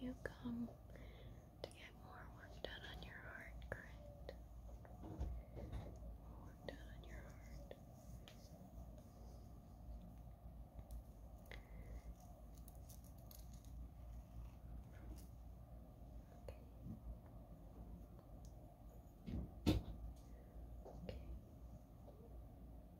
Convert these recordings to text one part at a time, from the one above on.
You come to get more work done on your heart, correct? work done on your heart. Okay. Okay.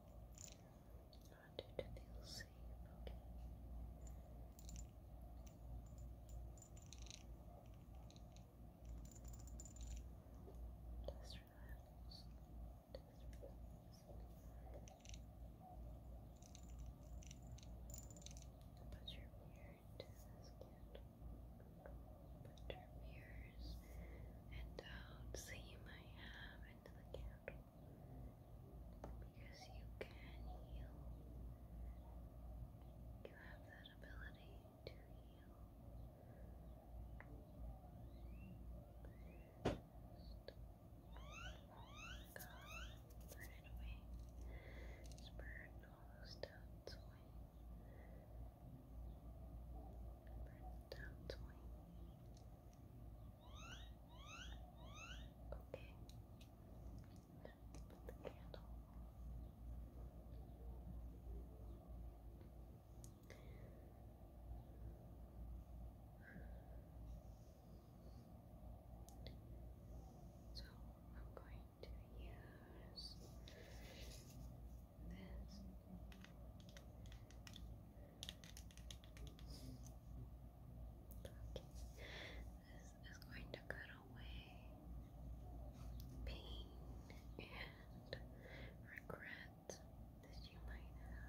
I want you to feel safe, okay? Just relax. Just relax. Put your mirror to the skin. Put your mirror fingers and doubts um, that you might have into the candle because you can heal. You have that ability to heal. Just gone, burn it all those doubts away down to me. Put the candle. So I'm going to use this. is going to cut away pain and regret that you might have.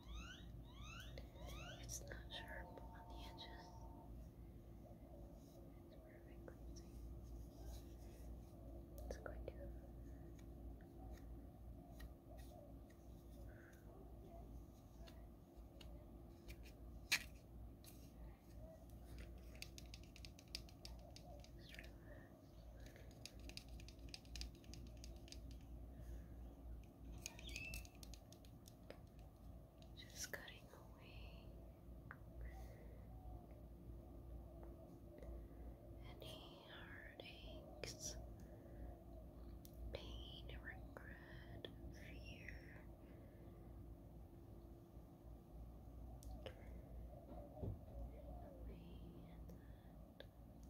It's not sharp on the edges. It's perfectly It's going to just cutting away any heartaches, pain, regret, fear. Away at that.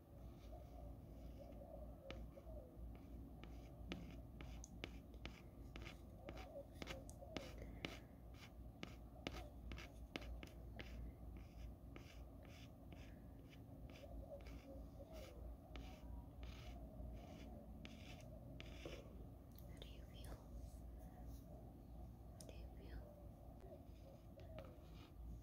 How do you feel? How do you feel?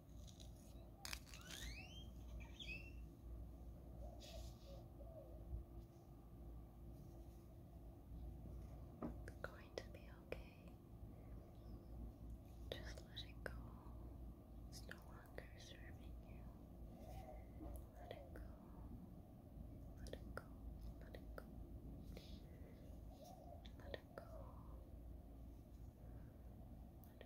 It's going to be okay. Just let it go. It's no longer serving you. Let it go. Let it go. Let it go. Let it go.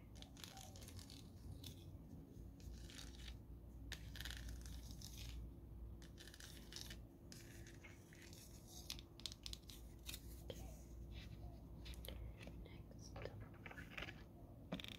I'm going to use my most powerful tactic for your heart.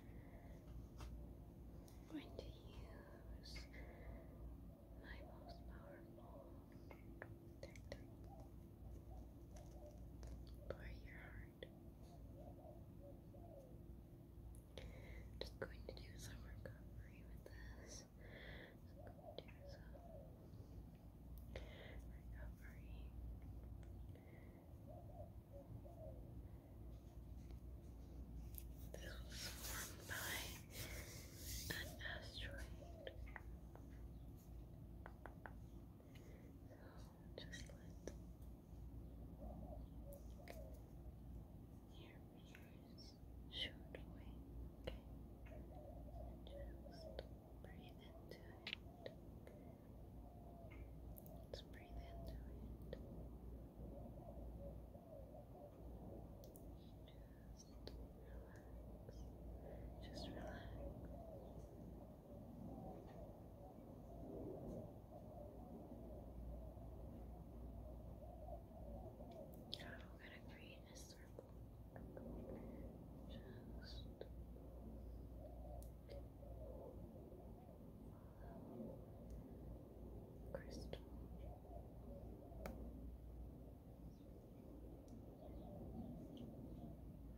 Just going to do some recovery with this. Just going to do some recovery. This was formed by an asteroid. So just let your mirrors shoot away, okay? just breathe into it. Let's breathe into it. Just relax. Just Relax. Now we going to create a circle. Just follow crystal.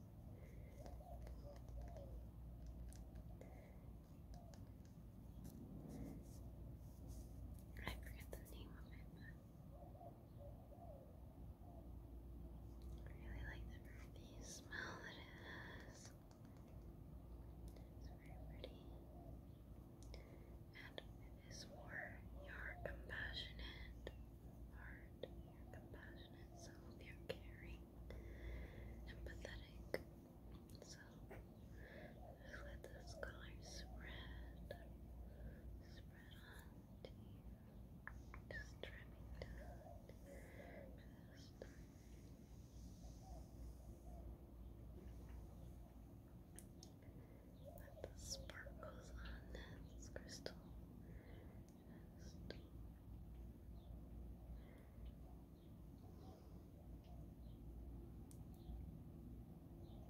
I forget the name of it, but I really like the earthy smell it has. It's very pretty. And it is for your compassionate heart your compassionate self, your caring, empathetic self. Just let those colors spread, spread onto you. Just trimming down past let the sparkles on this crystal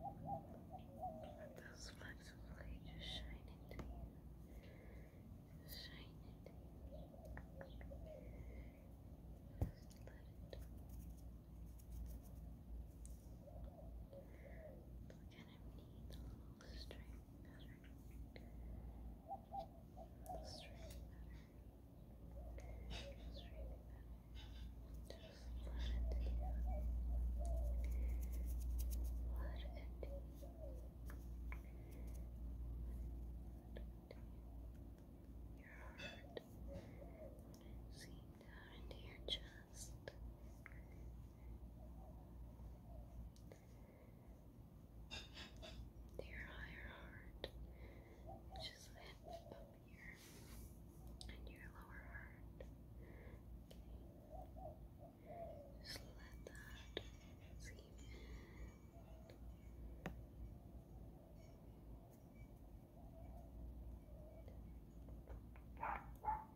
let those flecks of just shine into you. shine into let it kind of needs a little string pattern. Little string pattern. String Just let it do that. Let your heart, let down into your chest just your higher heart, which is up here, and your lower heart. Okay. Just let that seep in.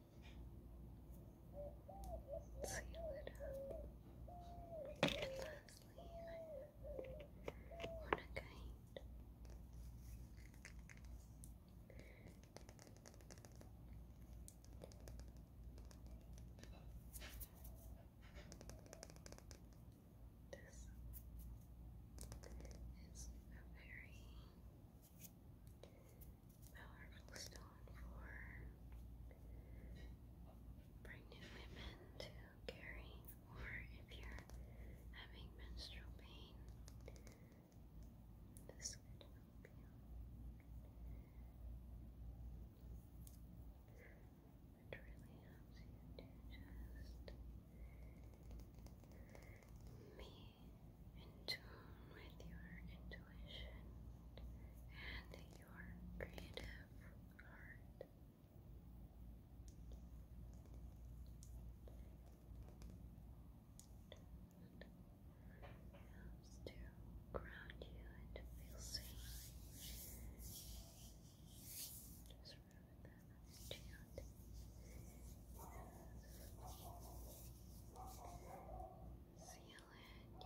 seal you up. And I want to kind this is very powerful stone for pregnant women to carry, or if you're having menstrual pain, this could really helps you to just in tune with your intuition and your creative heart. helps to ground you and feel safe. Seal in your heart with love, peace, and kindness. Just seal it all in.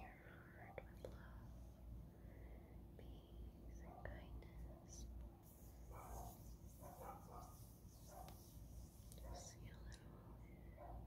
Just sealing it all in.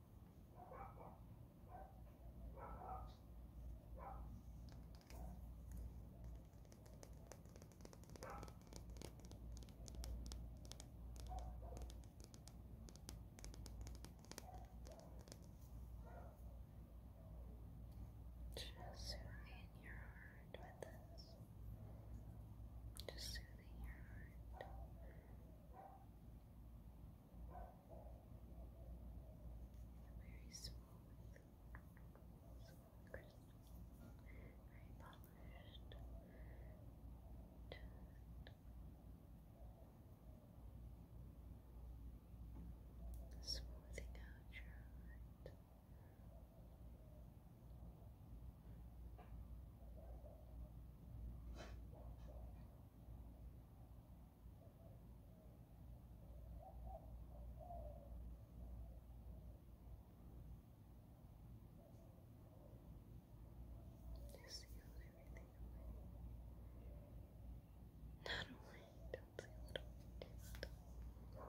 Just soothing your heart with this. Just soothing your heart very smooth, smooth crystals, very polished. smoothing out your heart. Just seal everything away. Not only don't see little distal.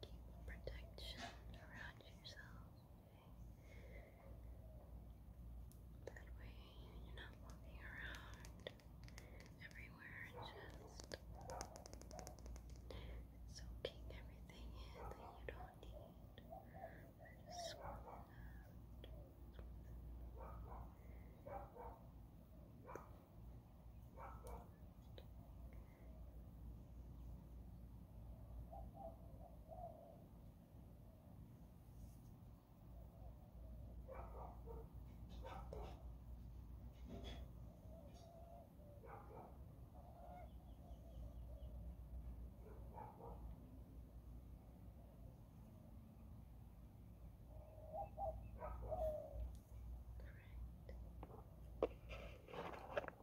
Keep protection around yourself. That way you're not walking around everywhere and just soaking everything in that you don't need. Just swallow Correct.